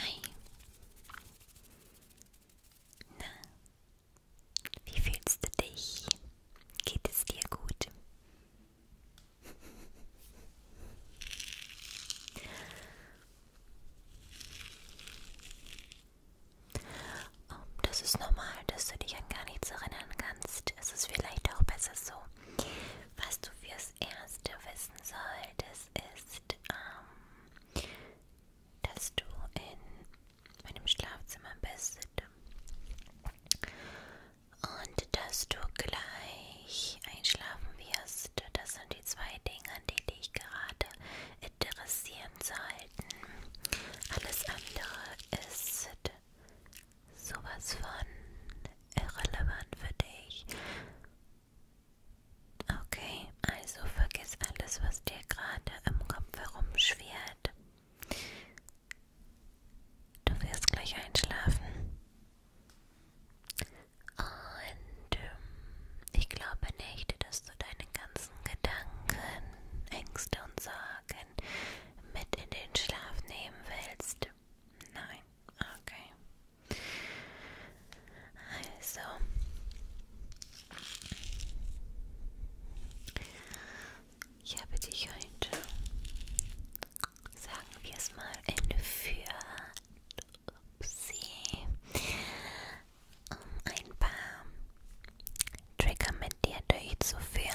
Hi. Na, wie fühlst du dich? Geht es dir gut? Oh, das ist normal, dass du dich an gar nichts erinnern kannst. Es ist vielleicht auch besser so. Was du für das erste wissen solltest, ist, ähm, dass du in meinem Schlafzimmer bist und dass du gleich einschlafen wirst. Das sind die zwei Dinge, die dich gerade interessieren sollten. Alles andere ist sowas von irrelevant für dich. Okay, also vergiss alles, was dir gerade im Kopf herumschwirrt. Du wirst gleich einschlafen. Und ähm, ich glaube nicht, dass du deine ganzen Gedanken, Ängste und Sorgen mit in den Schlaf nehmen willst. Nein, okay. Also. Ich habe dich heute, sagen wir es mal, entführt. Upsi. Um ein paar Trigger mit dir durchzuführen.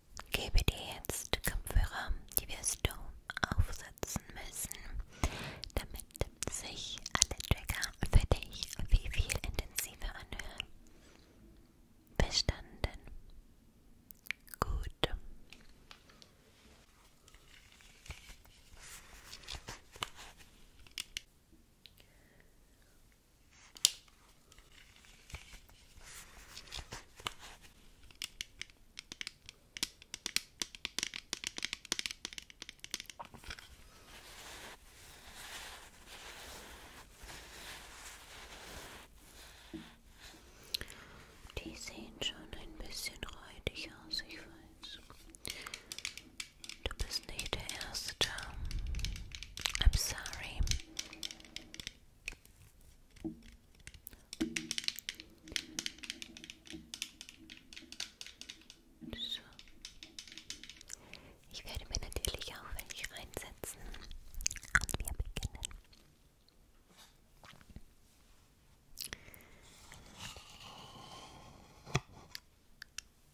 gebe dir jetzt Kopfhörer, die wirst du aufsetzen müssen, damit sich alle Trigger für dich viel, viel intensiver anhören. Verstanden? Gut. Die sehen schon ein bisschen räudig aus, ich weiß. Du bist nicht der Erste. I'm sorry. So. Ich werde mir natürlich auch welche reinsetzen und wir beginnen.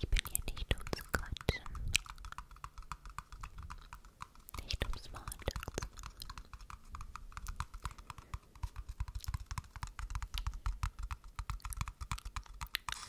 Ich bin hier nicht um zu quatschen. Nicht um Smalltalk zu machen. Hallo.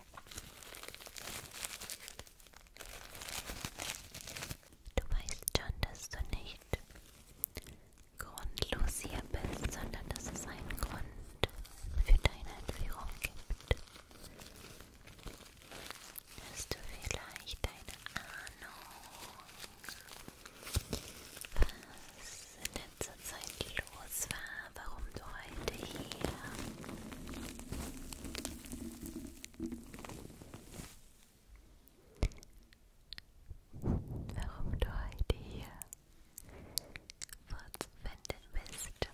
Du weißt schon, dass du nicht grundlos hier bist, sondern dass es einen Grund für deine Entführung gibt. Hast du vielleicht eine Ahnung, was in letzter Zeit los war, warum du heute hier, warum du heute hier fortzufinden bist.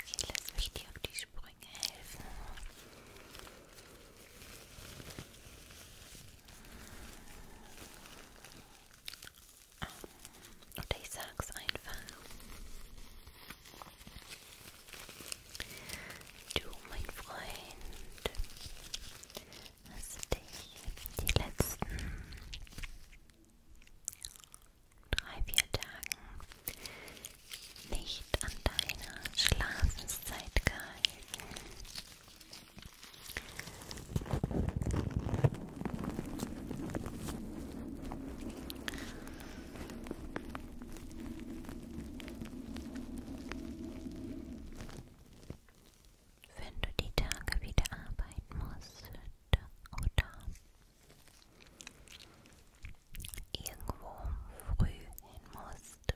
Okay, lass mich dir auf die die Sprünge helfen. Oder ich sag's einfach. Du, mein Freund, hast dich die letzten drei, vier Tagen nicht an deine Schlafenszeit gehalten. Wenn du die Tage wieder arbeiten musst oder irgendwo früh hin musst,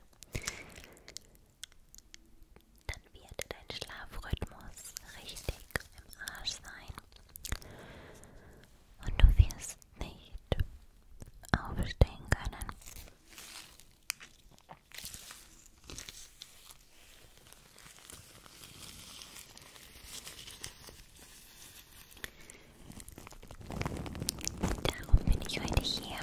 dann wird dein Schlafrhythmus richtig im Arsch sein und du wirst nicht aufstehen können. Darum bin ich heute hier,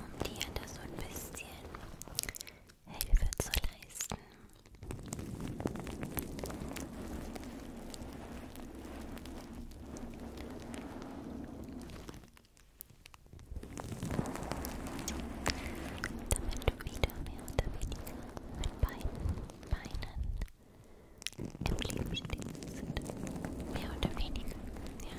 um dir da so ein bisschen Hilfe zu leisten. Damit du wieder mehr oder weniger mit beiden Beinen im Leben stets sind. Mehr oder weniger, ja.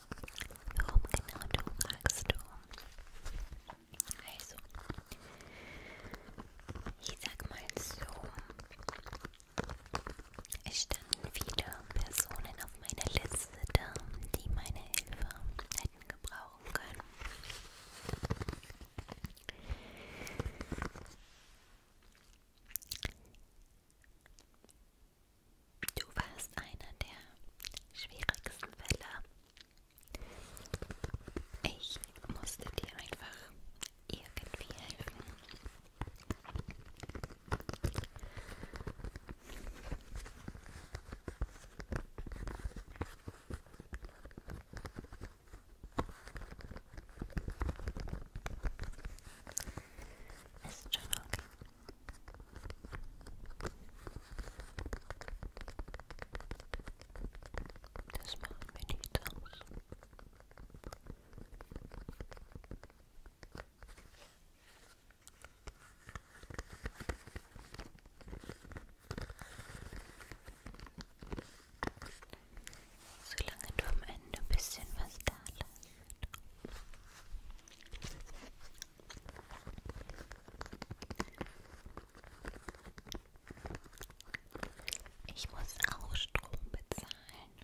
Warum genau du magst du? Also, ich sag mal so, es standen viele Personen auf meiner Liste da, die meine Hilfe hätten gebrauchen können. Du warst einer der schwierigsten Fälle. Ich musste dir einfach irgendwie helfen. Ist schon okay. Das macht mir nichts aus. Solange du am Ende ein bisschen was da lässt. Ich muss auch Strom bezahlen.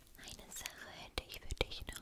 Eine Sache hätte ich für dich noch.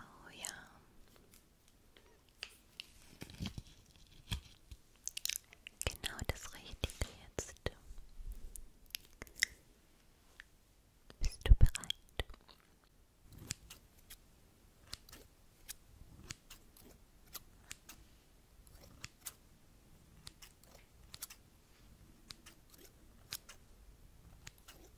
Oh ja. Genau das Richtige jetzt. Bist du bereit?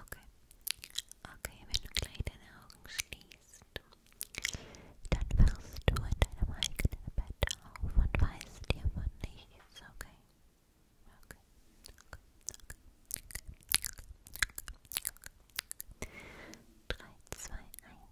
Okay. Okay, wenn du gleich deine Augen schließt, dann wachst du in deinem eigenen Bett auf und weißt dir von nichts, okay? Okay. Okay. Okay. Okay. Okay. Okay. 3, 2, 1.